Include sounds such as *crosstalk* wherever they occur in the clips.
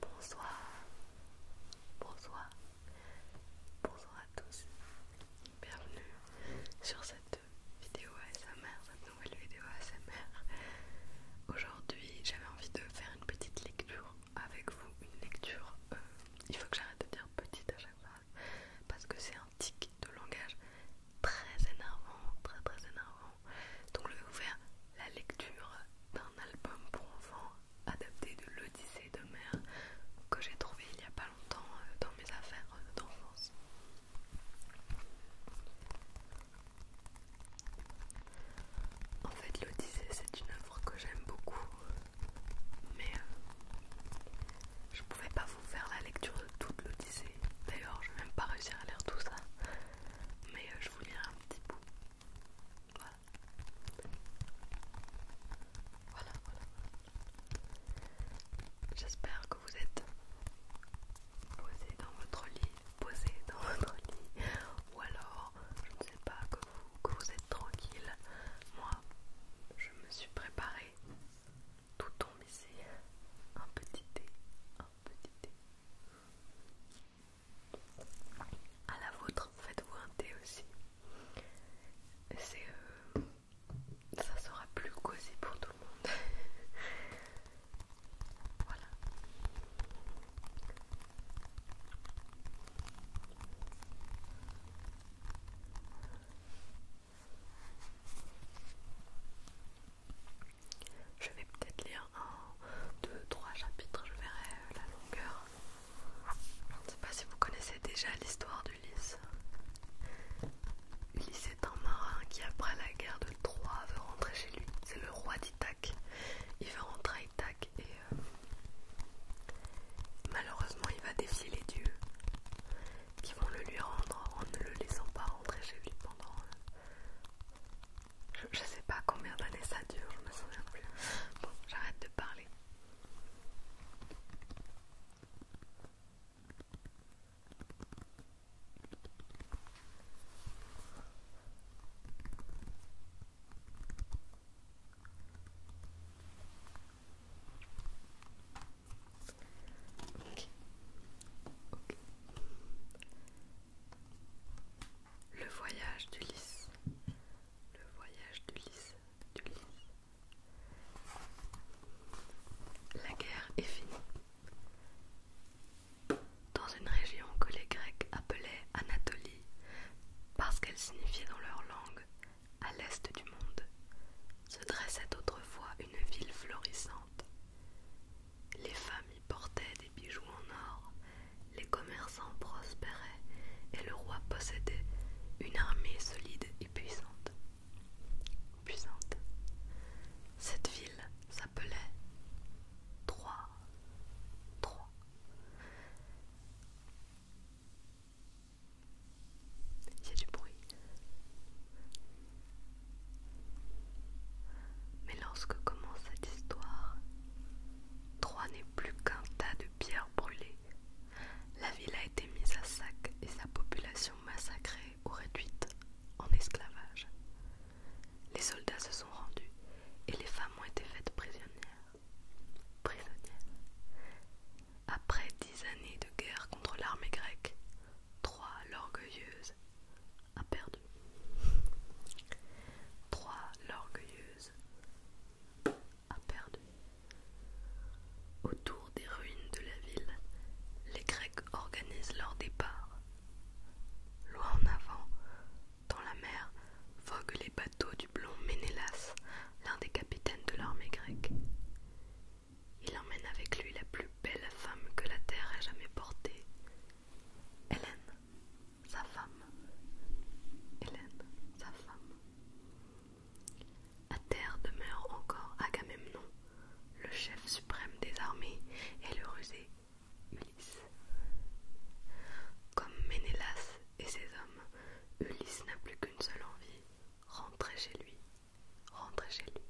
Bonsoir, bonsoir, bonsoir à tous, bienvenue sur cette vidéo ASMR, cette nouvelle vidéo ASMR. Aujourd'hui j'avais envie de faire une petite lecture avec vous, une lecture euh, il faut que j'arrête de dire petite à chaque phrase parce que c'est un tic de langage très énervant, très très énervant. Donc je vais vous faire la lecture d'un album pour enfants adapté de l'Odyssée de mer que j'ai trouvé il n'y a pas longtemps euh, dans mes affaires euh, d'enfance. En fait, l'Odyssée, c'est une œuvre que j'aime beaucoup, mais euh, je pouvais pas vous faire la lecture de toute l'Odyssée. D'ailleurs, je vais même pas réussir à lire tout ça, mais euh, je vous lirai un petit bout. Voilà. Voilà, voilà. J'espère que vous êtes posé dans votre lit, posé dans votre lit, ou alors je ne sais pas, que vous, êtes tranquille. Moi, je me suis préparée. Tout tombe ici. Un petit thé, un petit thé. À la vôtre, faites-vous un thé aussi. C'est... Euh, ça sera plus cosy pour tout le monde. *laughs* voilà. Je vais peut-être lire un, deux, trois chapitres, je verrai la longueur. Je ne sais pas si vous connaissez déjà l'histoire d'Ulysse. Ulysse est un marin qui, après la guerre de Troie, veut rentrer chez lui. C'est le roi d'Ithaque. Il veut rentrer à Ithac et euh, malheureusement il va défier les dieux qui vont le lui rendre en ne le laissant pas rentrer chez lui pendant euh, je, ne sais pas combien d'années ça dure, je me souviens plus. Bon, j'arrête de parler. Le voyage du lys. Le voyage du lys. Du lys. La guerre est finie dans une région que les Grecs appelaient Anatolie parce qu'elle signifiait dans leur langue à l'est du monde, se dressait autrefois une ville florissante. Les femmes y portaient des bijoux en or, les commerçants prospéraient et le roi possédait une armée solide et puissante. Cette ville s'appelait 3 3 Il y a du bruit. Mais lorsque commence cette histoire, 3 n'est plus qu'un tas de pierres brûlées. La ville a été mise à sac et sa population massacrée ou réduite en esclavage. Les soldats se sont rendus et les femmes ont été faites prisonnières. prisonnières. Après dix années de guerre contre l'armée grecque, trois l'orgueilleuse a perdu. l'orgueilleuse a perdu. Autour des ruines de la ville, les Grecs organisent leur départ Loin en avant, dans la mer, voguent les bateaux du blond Ménélas, l'un des capitaines de l'armée grecque. Il emmène avec lui la plus belle femme que la terre ait jamais portée, Hélène, sa femme. Hélène, sa femme. À terre demeure encore Agamemnon, le chef suprême des armées et le rusé Ulysse. Comme Ménélas et ses hommes, Ulysse n'a plus qu'une seule envie, rentrer chez lui, rentrer chez lui.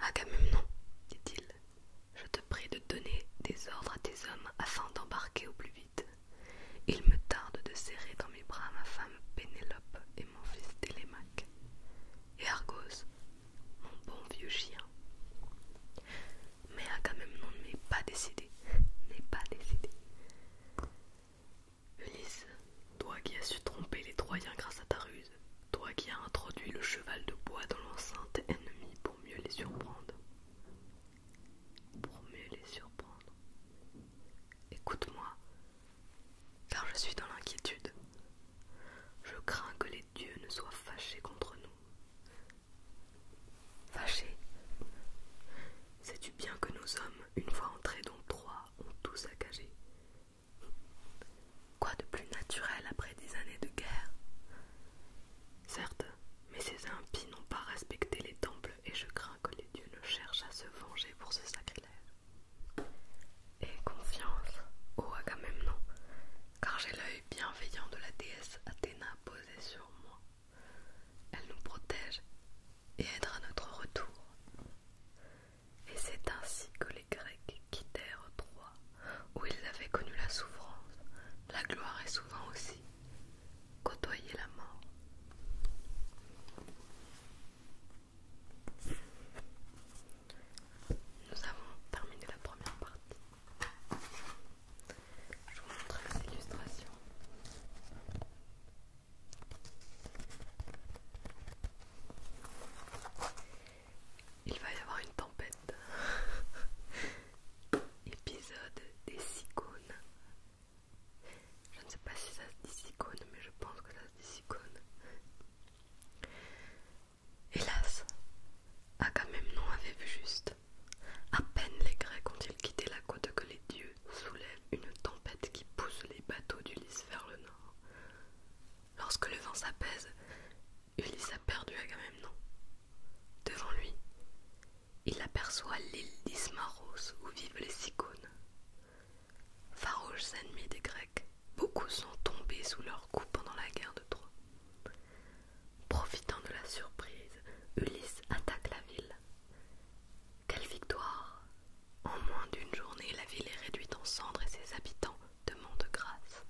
Agamemnon, dit-il, je te prie de donner des ordres à tes hommes afin d'embarquer au plus vite. Il me tarde de serrer dans mes bras ma femme Pénélope et mon fils Télémaque. Et Argos, mon bon vieux chien. Mais a quand même non n'est pas décidé. n'est pas décidé. Ulysse, toi qui as su tromper les Troyens grâce à ta ruse, toi qui as introduit le cheval de bois dans l'enceinte ennemie pour mieux les surprendre. Pour mieux les surprendre. Écoute-moi, car je suis dans l'inquiétude. Je crains que les dieux ne soient fâchés contre nous. Fâchés Sais-tu bien que nos hommes, une fois entrés dans trois, ont tous saccagé Quoi de plus naturel après des années de guerre Certes, mais ces impies n'ont pas respecté les temples et je crains que les dieux ne cherchent à se venger pour ce sacrilège et confiance ô oh, Agamemnon, ah, car j'ai l'œil bienveillant de la déesse Athéna posée sur moi. Elle nous protège et aidera notre retour. Et c'est ainsi que les Grecs quittèrent Troie, où ils avaient connu la souffrance, la gloire et souvent aussi côtoyer la mort. Nous avons terminé la première partie. Je vous montre les illustrations. Il va y avoir une tempête. *laughs* Épisode des cyclones. Je ne sais pas si ça se dit cyclone, mais je pense que ça se dit cyclone. Hélas, Agamemnon avait vu juste. À peine les Grecs ont-ils quitté la côte que les dieux soulèvent une tempête qui pousse les bateaux d'Ulysse vers le nord. Lorsque le vent s'apaise, Ulysse a perdu Agamemnon. Devant lui, il aperçoit l'île d'Ismaros où vivent les Cicones. Farouches ennemis des Grecs, beaucoup sont tombés sous leurs coups pendant la guerre de Troie. Profitant de la surprise, Ulysse attaque la ville. Quelle victoire En moins d'une journée, la ville est réduite en cendres et ses habitants demandent grâce.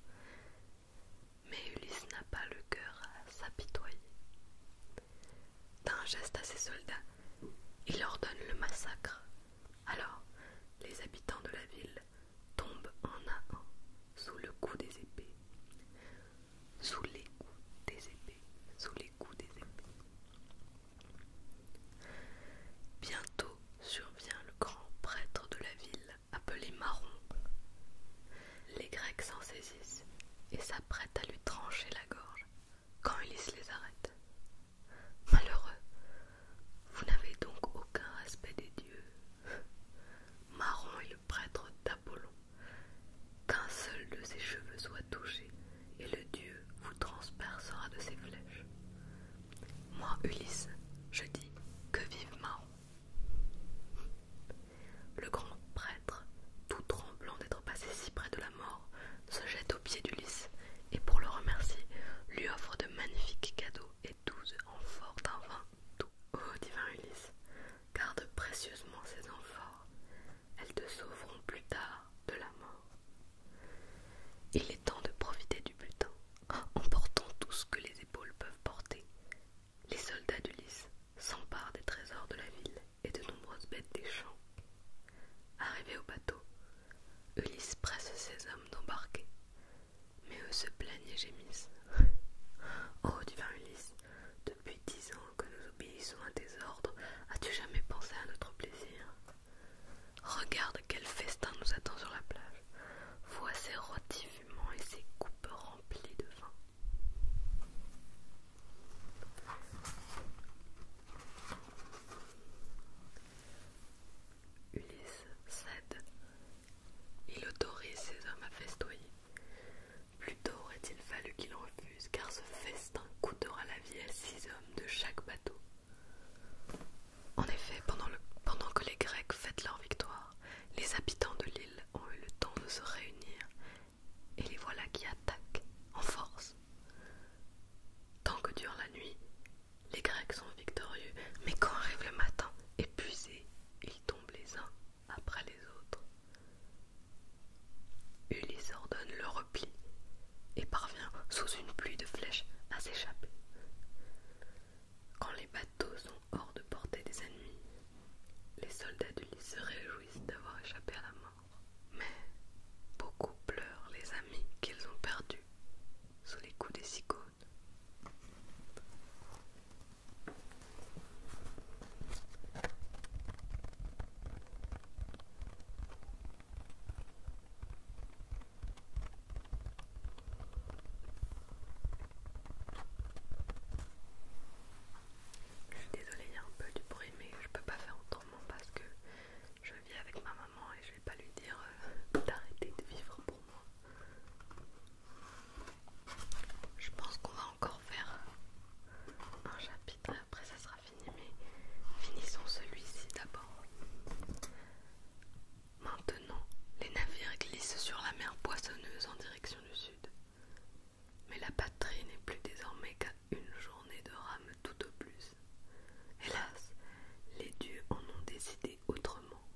Mais Ulysse n'a pas le cœur à s'apitoyer. D'un geste à ses soldats, il ordonne le massacre, alors, les habitants de la ville tombent en à un sous le coup des épées. Sous les coups des épées. Sous les coups des épées. Bientôt survient le grand prêtre de la ville, appelé Maron. Les Grecs s'en saisissent et s'apprêtent à lui trancher la gorge quand Ulysse les arrête. Malheureux, vous n'avez donc aucun respect des dieux. Marron est le prêtre d'Apollon. Qu'un seul de ses cheveux soit touché, et le dieu vous transpercera de ses flèches. Moi, Ulysse, je dis que vive Marron. Le grand prêtre, tout tremblant d'être passé si près de la mort, se jette aux pieds d'Ulysse et pour le remercier, lui offre de magnifiques cadeaux et douze amphores d'un vin doux. Ô oh, divin Ulysse, garde précieusement ces amphores, elles te sauveront plus tard de la mort. Il est temps de profiter du butin, en portant tout ce que les épaules peuvent porter. Les soldats d'Ulysse s'emparent des trésors de la ville et de nombreuses bêtes des champs. Arrivé au bateau, Ulysse presse ses hommes d'embarquer, mais eux se plaignent et gémissent. *laughs* oh divin Ulysse, depuis dix ans que nous obéissons à tes ordres, as-tu jamais pensé à notre plaisir Regarde quel festin nous attend sur la plage. Vois ces rôtis fumants et ces coupes remplies de vin. Ulysse cède. Il autorise ses hommes à festoyer. Plutôt aurait-il fallu qu'il refuse, car ce festin coûtera la vie à six hommes de chaque bateau. En effet, pendant, pendant que les Grecs fêtent leur victoire, les habitants de l'île ont eu le temps de se réunir et les voilà qui attaquent en force. Tant que dure la nuit, les Grecs sont victorieux, mais quand arrive le matin, épuisés, ils tombent les uns après les autres. Ulysse ordonne le repli et parvient, sous une pluie de flèches, à s'échapper. Quand les bateaux sont hors de portée des ennemis, les soldats d'Ulysse se réjouissent d'avoir échappé à la mort. Mais beaucoup pleurent les amis qu'ils ont perdus sous les coups des icônes. Je suis désolée, il y a un peu du bruit, mais je peux pas faire autrement parce que je vis avec ma maman et je vais pas lui dire euh, d'arrêter de vivre pour moi. Je pense qu'on va encore faire un chapitre, après ça sera fini, mais finissons celui-ci d'abord. Maintenant, les navires glissent sur la mer poissonneuse en direction du sud. Mais la patrie n'est plus désormais qu'à une journée de rame tout au plus. Hélas, les dieux en ont décidé autrement.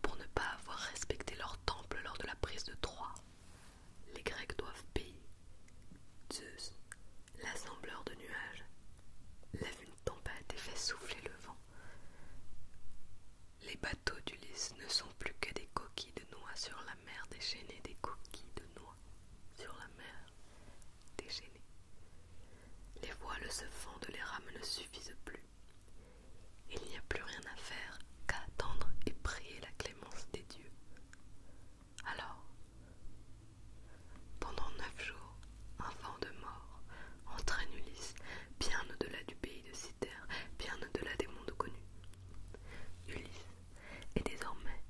Pour ne pas avoir respecté leur temple lors de la prise de Troie, les Grecs doivent payer. Zeus, l'assembleur de nuages, lève une tempête et fait souffler le vent. Les bateaux d'Ulysse ne sont plus que des coquilles noix sur la mer déchaînée, des coquilles de noix sur la mer déchaînée. Les voiles se fendent, les rames ne suffisent plus. Il n'y a plus rien à faire qu'à attendre et prier la clémence des dieux. Alors, pendant neuf jours, un vent de mort entraîne Ulysse bien au-delà du pays de citer bien au-delà des mondes connus. Ulysse et désormais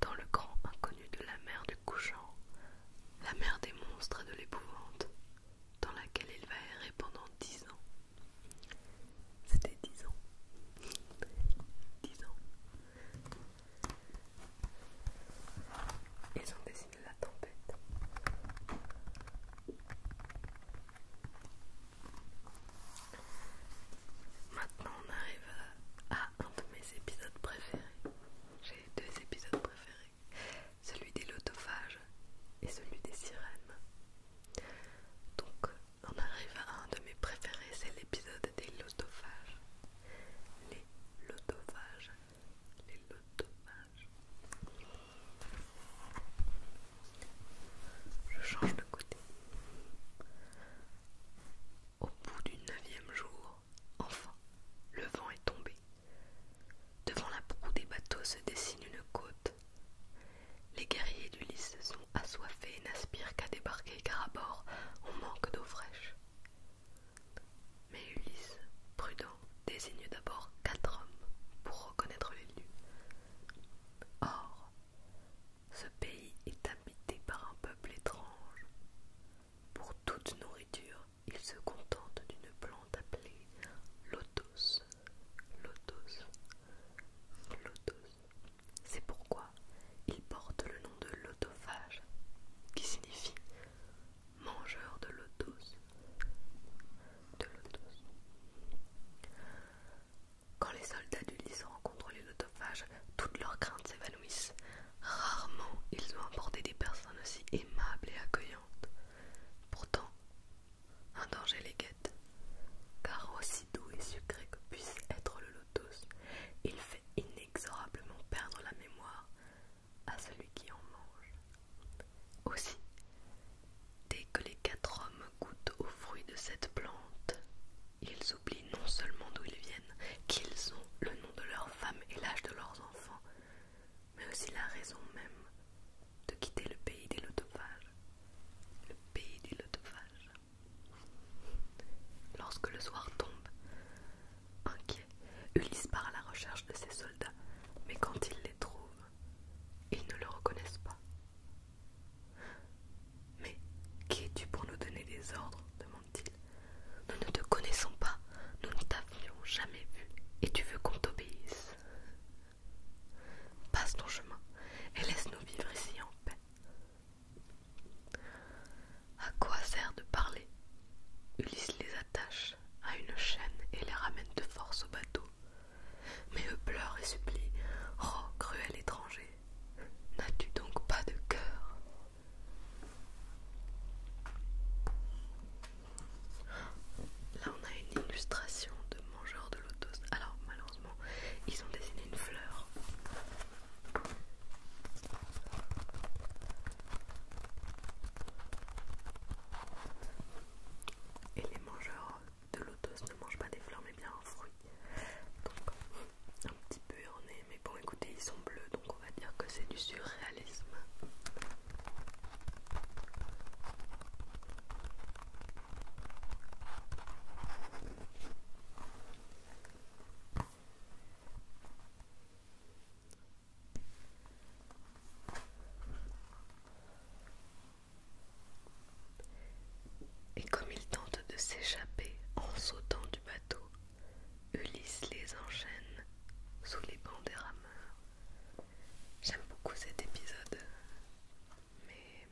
dans le grand inconnu de la mer du couchant, la mer des monstres et de l'épouvante, dans laquelle il va errer pendant dix ans. C'était dix ans. dix ans. Ils ont dessiné la tempête. Maintenant on arrive à un de mes épisodes préférés. J'ai deux épisodes préférés. Celui des lotophages et celui des sirènes. Donc on arrive à un de mes préférés, c'est l'épisode des lotophages. Les lotophages. Les lotophages. Je change de côté. Au bout du neuvième jour, enfin, le vent est tombé. Devant la proue des bateaux se dessine une côte. Les guerriers d'Ulysse sont assoiffés et n'aspirent qu'à débarquer car à bord on manque d'eau fraîche. Mais Ulysse, prudent, désigne d'abord quatre hommes pour reconnaître les lieux. Or, ce pays est habité par un peuple étrange. Pour toute nourriture, il se contente d'une plante appelée lotos. Lotos. Lotos. C'est pourquoi il porte le nom de lotophage, qui signifie mangeur de lotos. De lotos. Quand les soldats du d'Ulysse rencontrent les lotophages, toutes leurs craintes s'évanouissent. Rarement ils ont emporté des personnes aussi aimables et accueillantes. Pourtant, un danger les guette, car aussi doux et sucré que puisse être le lotos, il fait inexorablement perdre la mémoire à celui qui en mange. Aussi, dès que les quatre hommes goûtent aux fruits de cette plante, ils oublient non seulement d'où ils viennent, qu'ils ont le nom de leur femme et l'âge de leurs enfants, mais aussi la raison même de quitter le pays des lotophages. Le pays du lotophages... Lorsque le soir tombe, inquiet, Ulysse part à la recherche de ses soldats, mais quand il les trouve, ils ne le reconnaissent pas. Mais qui es-tu pour nous donner des ordres demande-t-il. Nous ne te connaissons pas, nous ne t'avions jamais vu, et tu veux qu'on t'obéisse. Passe ton chemin et laisse-nous vivre ici en paix. À quoi sert de parler Ulysse les attache à une chaîne et les ramène de force au bateau, mais eux pleurent et supplient. Oh, cruel étranger, n'as-tu donc pas de cœur Là, on a une illustration de mangeurs de lotos. Alors, malheureusement, ils ont dessiné une fleur. Et les mangeurs de lotos ne mangent pas des fleurs mais bien un fruit. Donc un petit peu erroné, mais bon écoutez, ils sont bleus donc on va dire que c'est du surréalisme. Et comme ils tentent de s'échapper en sautant du bateau, Ulysse les enchaîne sous les bancs des rameurs. J'aime beaucoup cet épisode, mais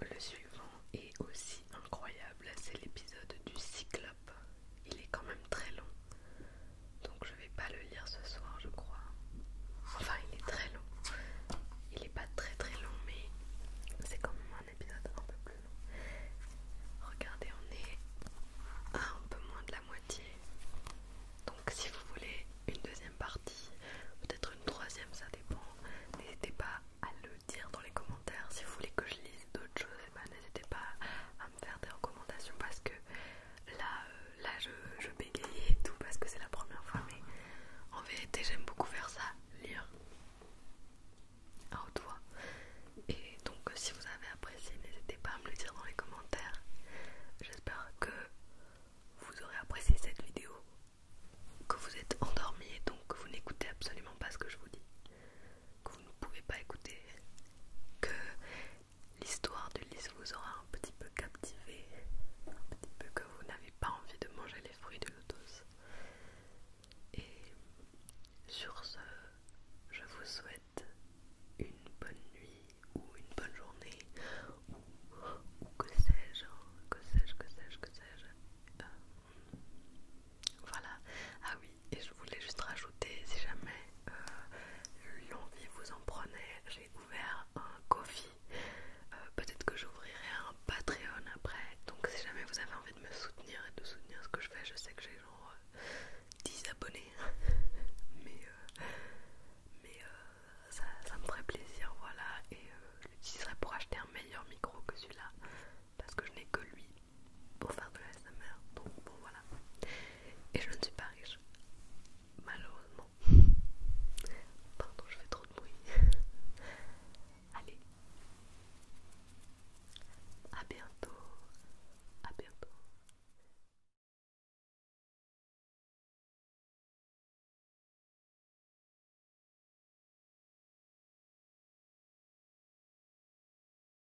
le suivant est aussi incroyable, c'est l'épisode du cyclope. Il est quand même très long, donc je vais pas le lire ce soir je crois. Enfin il est très long. Il est pas très très long mais c'est quand même un épisode un peu plus long. Regardez on est à un peu moins de la moitié. Donc si vous voulez une deuxième partie, peut-être une troisième ça dépend. N'hésitez pas à le dire dans les commentaires. Si vous voulez que je lise d'autres choses, eh ben, n'hésitez pas à me faire des recommandations parce que là... Euh, là je, bégayais et tout parce que c'est la première fois, mais en vérité j'aime beaucoup faire ça, lire à haute voix. Et donc si vous avez apprécié, n'hésitez pas à me le dire dans les commentaires. J'espère que vous aurez apprécié cette vidéo, que vous êtes endormi et donc que vous n'écoutez absolument pas ce que je vous dis, que vous ne pouvez pas écouter, que l'histoire du lys vous aura un petit peu captivé, un petit peu que vous n'avez pas envie de manger les fruits de l'autos. Et sur ce, je vous souhaite une bonne nuit ou une bonne journée ou, que sais-je, hein, que sais-je, que sais-je, que sais-je. Euh, voilà. Ah oui, et je voulais juste rajouter, si jamais euh, l'envie vous en prenait, j'ai ouvert un coffee. Euh, peut-être que j'ouvrirai un Patreon après. Donc si jamais vous avez envie de me soutenir et de soutenir ce que je fais, je sais que j'ai genre 10 euh, abonnés. *laughs* mais ça, me ferait plaisir, voilà. Et je l'utiliserai pour acheter un meilleur micro que celui-là. Parce que je n'ai que lui pour faire de smr donc bon voilà et je ne suis pas riche malheureusement *laughs* pardon je fais trop de bruit *laughs* allez à bientôt à bientôt